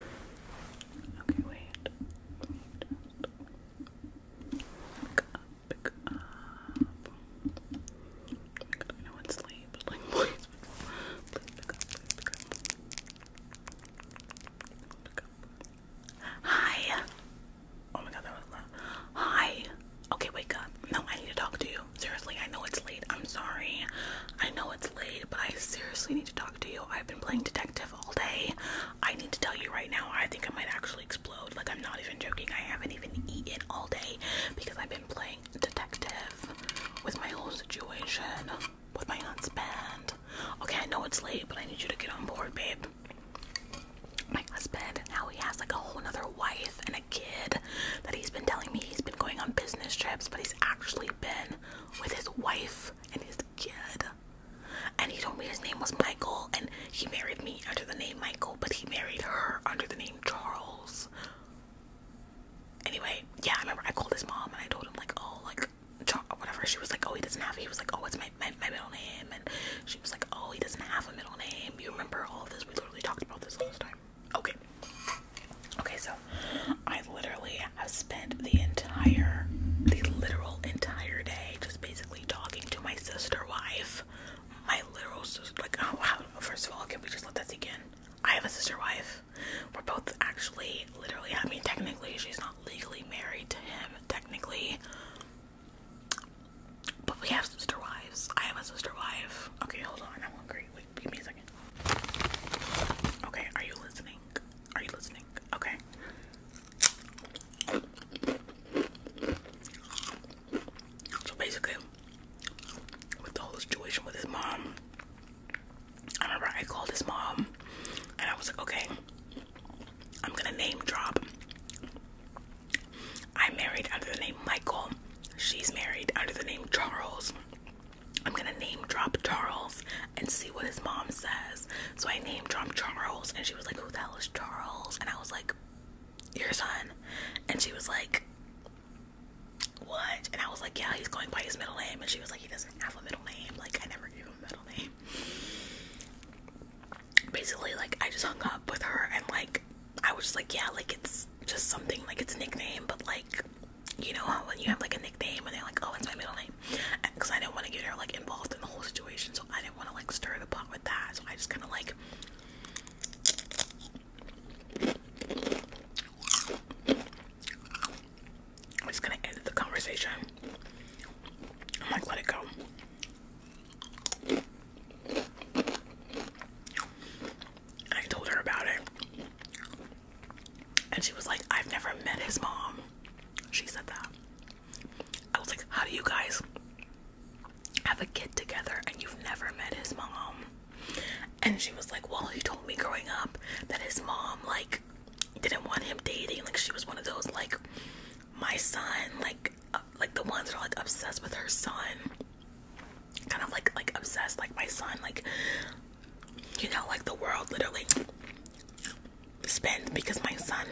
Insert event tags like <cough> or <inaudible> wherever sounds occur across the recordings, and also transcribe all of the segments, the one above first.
Okay, wait. Pick up, pick up. I know it's late, <laughs> please, please please pick up. Pick up. Hi. Oh my god, that was loud. Hi. Okay, wake up. No, I need to talk to you. Seriously, I know it's late. I'm sorry. I know it's but I seriously need to talk to you. I've been playing detective all day. I need to tell you right now, I think I might actually explode. Like, I'm not even joking. I haven't even eaten all day because I've been playing detective with my whole situation, with my aunt's band. Okay, I know it's late, but I need you to get on board, babe. My husband, now he has like a whole other wife and a kid that he's been telling me he's been going on business trips, but he's actually been with his wife and his kid. And he told me his name was Michael, and he married me under the name Michael, but he married her under the name Charles. Anyway, yeah, I remember I called his mom and I told him like, oh, like, Char whatever. She was like, oh, he doesn't have. It. He was like, oh, it's my, my my middle name, and she was like, oh, he doesn't have a middle name. You remember all of this? We literally talked about this last time. Okay. Okay, so I literally have spent the entire, the literal entire day just basically talking to my sister wife. My literal sister, like, oh wow, first of all, can we just let that sink in? I have a sister wife. We're both actually, literally, I mean, technically, she's not legally married to him, technically. But we have sister wives. I have a sister wife. Okay, hold on, I'm hungry give me a second. Okay, are you listening? Are you listening? Okay. So basically, with the whole situation with his mom, I remember I called his mom and I was like, okay, I'm gonna name drop. I am married under the name Michael. She's married under the name Charles. I'm gonna name drop Charles and see what his mom says. So I named drop Charles, and she was like, Who the hell is Charles? And I was like, Your son. And she was like, What? And I was like, Yeah, he's going by his middle name. And she was like, He doesn't have a middle name. Like, I never gave him a middle name. Basically, like, I just hung up with her, and like, I was just like, Yeah, like, it's just something, like, it's nickname, but like, you know how when you have like a nickname and they're like, oh, it's my middle name, because I didn't want to get her like involved in the whole situation, so I didn't want to like stir the pot with that. So I just kind of like. I'm just gonna end the conversation. I'm like, let it go. I told her about it. And she was like, I've never met his mom. She said that. I was like, How do you guys have a kid together and you've never met his mom? And she was like, Well, he told me growing up that his mom, like, didn't want him dating. Like, she was one of those, like, my son, like, uh, like the ones that are like obsessed with her son kind of like like obsessed like my son like you know like the world literally spins because my son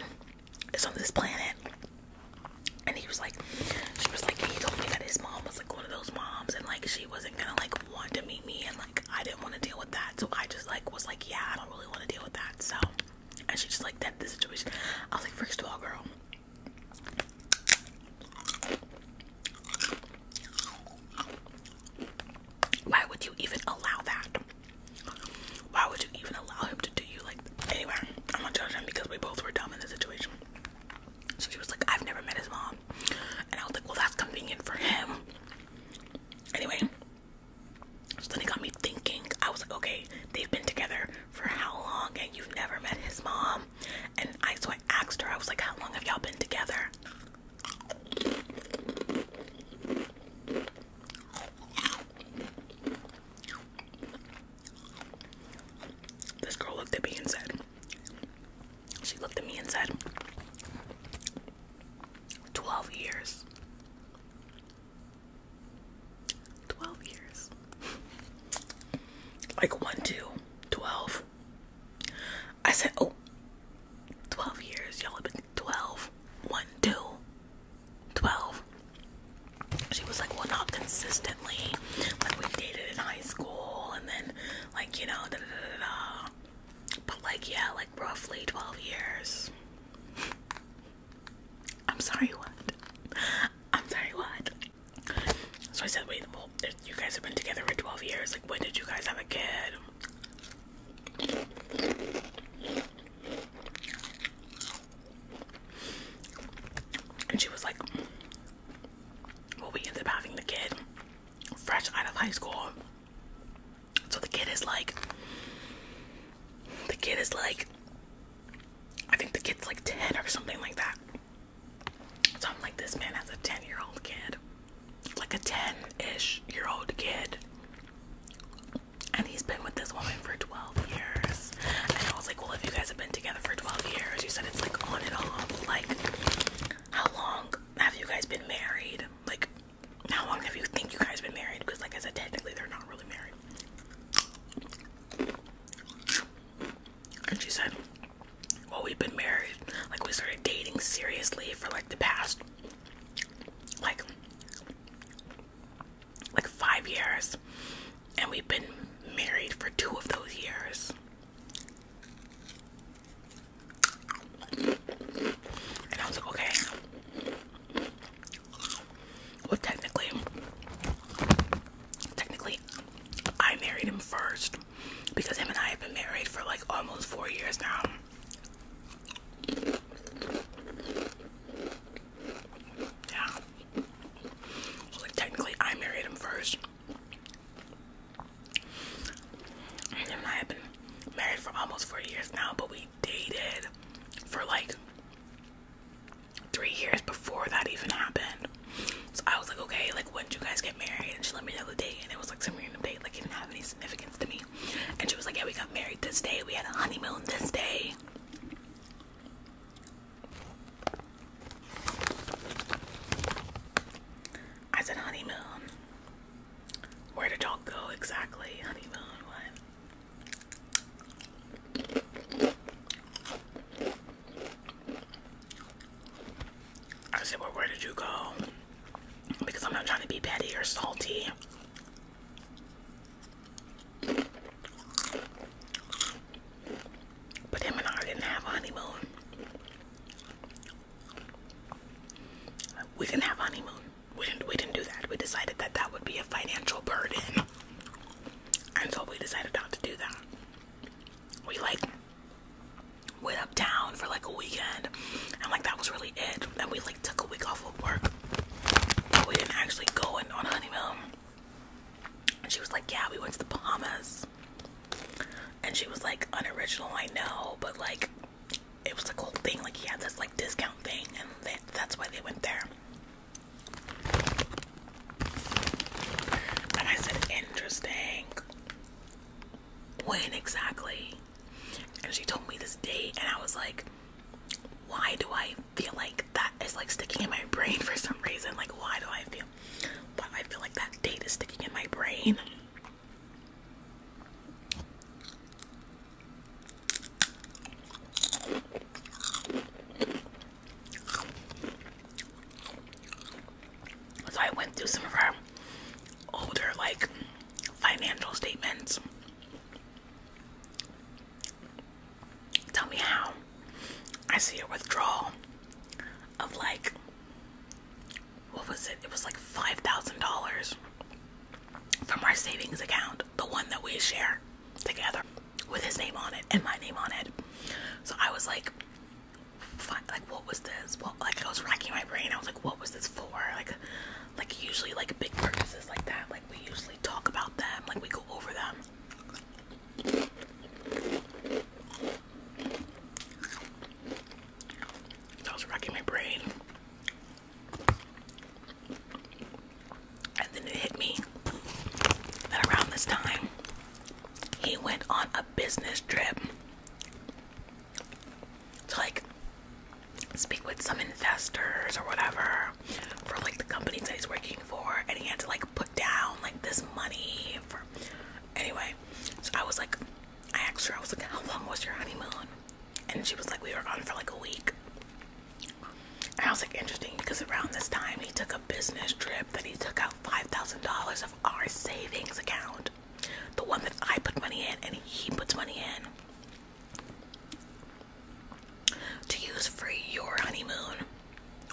is on this planet and he was like she was like he told me that his mom was like one of those moms and like she wasn't gonna like want to meet me and like I didn't want to deal with that so I just like was like yeah I don't really want to deal with that so and she just like that the situation I was like first of all girl why would you even allow that? Why would you even allow him to do you like anyway? I'm not judging him because we both were dumb in the situation. So she was like, I've never met his mom. And I was like, Well that's convenient for him. Anyway. So then it got me thinking. I was like, okay, they've been together for how long and you've never met his mom? and I so I asked her, I was like, How long have y'all been together? This girl looked at me and said, She looked at me and said, 12 years. 12 years. like 1, 2, 12. I said, oh, 12 years. Y'all have been 12. 1, 2, 12. She was like, well, not consistently. Like, we dated in high school and then, like, you know, da da da. da. But, like, yeah, like, roughly 12 years. I'm sorry, what? I'm sorry, what? So I said, wait, you guys have been together for 12 years. Like, when did you guys have a kid? And she was like, well, we ended up having the kid fresh out of high school. So the kid is like, the kid is like I think the kid's like 10 or something like that. So I'm like, this man has a 10 year old kid, like a 10 ish year old kid. And he's been with this woman for 12 years. And I was like, well, if you guys have been together for 12 years, you said it's like on and off. Like, how long have you guys been married? Like, how long have you think you guys been married? Because, like I said, technically they're not really married. And she said, Well, we've been married. Like, we started dating seriously for like the past, like, like five years. And we've been married for two of those years. And I was like, okay, well, technically, technically, I married him first because him and I have been married for like almost four years now. Yeah. technically, I married him first. him and I have been married for almost four years now, but we dated for like three years before that even happened. So I was like, okay, like when did you guys get married? And she let me know the date, and it was like some random date, like it didn't have any significance to me. And she was like, yeah, we got married this day. We had a honeymoon this day. I said honeymoon. Where did y'all go exactly? Honeymoon, what? I said, where did you go? Because I'm not trying to be petty or salty. But him and I didn't have honeymoon. We didn't have honeymoon we didn't we didn't do that. We decided that that would be a financial burden, and so we decided not to do that. We like went uptown for like a weekend, and like that was really it. And we like took a week off of work, but we didn't actually go in on honeymoon. And she was like, "Yeah, we went to the Bahamas," and she was like, "Unoriginal, I know, but like." it was a cool thing. Like he had this like discount thing, and that's why they went there. But I said, interesting. When exactly? And she told me this date, and I was like, why do I feel like that is like sticking in my brain for some reason? Like, why do I feel? But I feel like that date is sticking in my brain. So I went through some of our older like financial statements. Tell me how I see a withdrawal of like what was it? It was like five thousand dollars from our savings account, the one that we share together with his name on it and my name on it. So I was like, like what was this? like I was racking my brain. I was like, what was this for? Like, like usually like big purchases like that. Like we usually talk about them. Like we go over them. So I was racking my brain. And then it hit me that around this time, he went on a business trip to like speak with some investors or whatever for like the companies that he's working for, and he had to like put down like this money for anyway. So I was like, I asked her, I was like, How long was your honeymoon? and she was like, we were gone for like a week. And I was like, interesting, because around this time he took a business trip that he took out $5,000 of our savings account. The one that I put money in and he puts money in. To use for your honeymoon.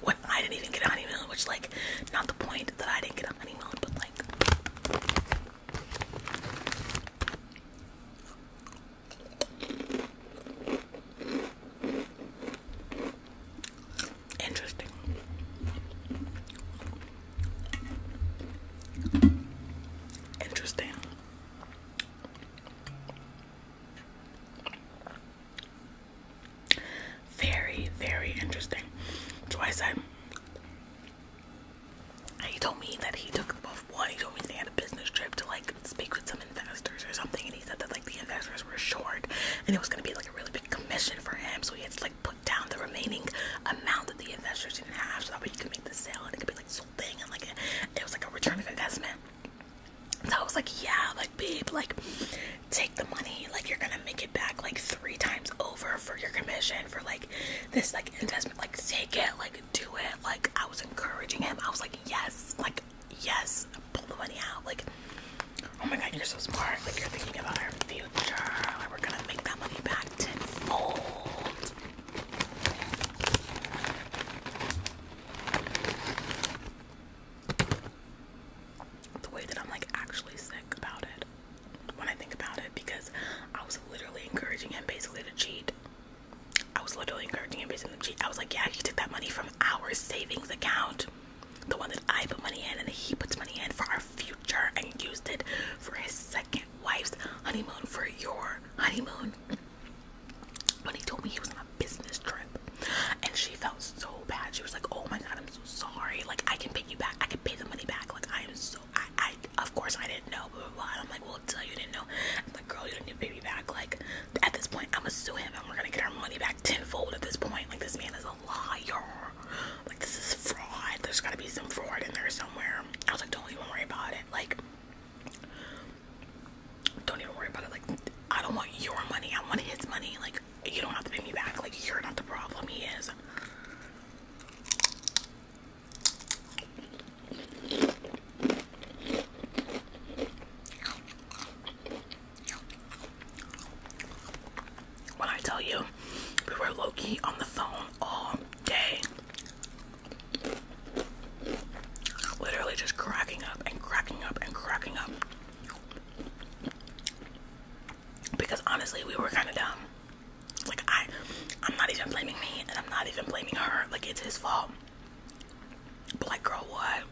When I didn't even get a honeymoon, which like, not the point that I didn't get a honeymoon, but like, Interesting. Interesting. Very, very interesting. So I he told me that he took off one. He told me they had a business trip to like speak with some investors or something, and he said that like the investors were short, and it was gonna be like a really big commission for him, so he had to like put down the remaining amount that the investors didn't have, so that way he could make the sale, and it could be like sold thing, and like it was like a return of investment. So I was like, yeah, like babe, like take the money, like you're gonna make it back like three times over for your commission, for like this like investment like take it like do it like I was encouraging him I was like yes like yes pull the money out like oh my god you're so smart like you're thinking about our future like we're gonna make that money back tenfold the way that I'm like actually sick about it when I think about it because I was literally encouraging him basically to cheat. I was literally encouraging him basically to cheat. I was like, yeah, you took that money from our savings account, the one that I put money in and he puts money in for our future, and used it for his second wife's honeymoon, for your honeymoon. When he told me he was on a business trip, and she felt so bad. She was like, oh my god, I'm so sorry. Like I can pay you back. I can pay the money back. Like I am so I I of course I didn't know, blah I'm like, well tell you didn't know. I'm like, girl, you didn't need pay me back. Like at this point I'ma sue him and we're gonna get our money back tenfold at this point. Like this man is a liar. Like this is fraud. There's gotta be some fraud in there somewhere. I was like, don't even worry about it. Like don't even worry about it. Like I don't want your money. I want his money. Like you don't have to pay me back. Like, you're not the problem, he is. When I tell you, we were low key on the phone all day. Literally just cracking up and cracking up and cracking up because honestly we were kind of dumb like i i'm not even blaming me and i'm not even blaming her like it's his fault but like girl what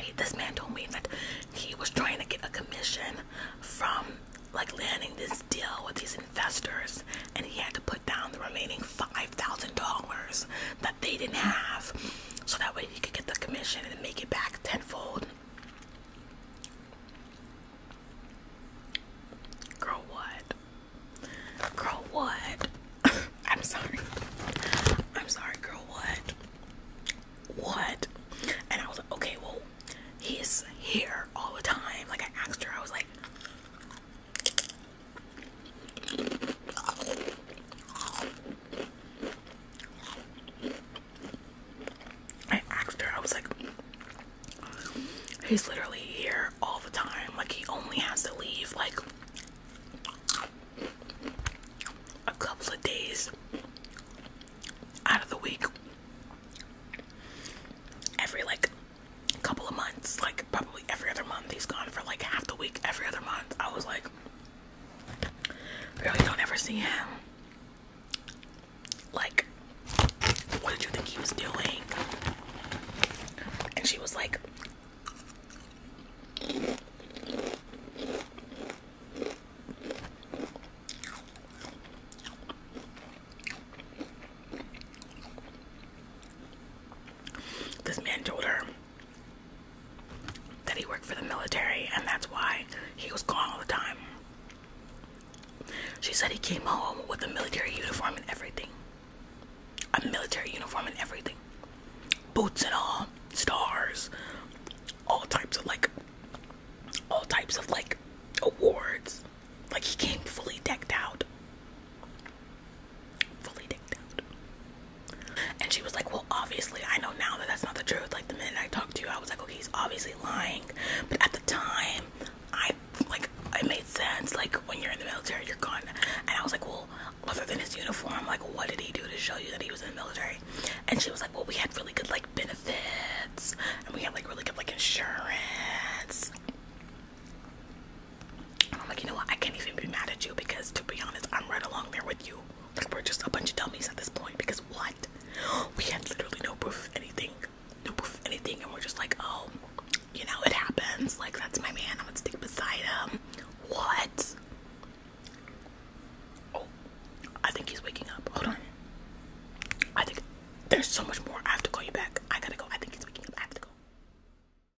he, this man told me that he was trying to get a commission from like landing this deal with these investors and he had to put down the remaining $5000 that they didn't have, so that way he could get the commission and make it back tenfold. Girl, what? Girl, what? <laughs> I'm sorry. I'm sorry, girl, what? What? And I was like, okay, well, he's here all the time. Like, I asked her, I was like, I asked her, I was like, he's literally here all the time. Like, he only has to leave like a couple of days out of the week. Every like couple of months, like probably every other month, he's gone for like half the week every other month. I was like, Really don't ever see him. Like, what did you think he was doing? And she was like, this man told her that he worked for the military and that's why he was gone all the time. She said he came home with a military uniform and everything. A military uniform and everything. Boots and all, stars, all types of like all types of like awards. Like he came fully decked out fully decked out. And she was like, Well, obviously, I know now that that's not the truth. Like, the minute I talked to you, I was like, Okay, he's obviously lying. But at the time, I like, it made sense. Like, when you're in the military, you're gone. And I was like, Well, other than his uniform, like, what did he do to show you that he was in the military? And she was like, Well, we had really good, like, benefits, and we had, like, really good, like, insurance. And I'm like, you know what? I can't even be mad at you because, to be honest, I'm right along there with you. Like, we're just a bunch of dummies at this point because what? We had literally no proof of anything. No proof of anything. And we're just like, oh, you know, it happens. Like, that's my man. I'm gonna stick beside him. What? Oh, I think he's waking up. Hold on. I think there's so much more. I have to call you back. I gotta go. I think he's waking up. I have to go.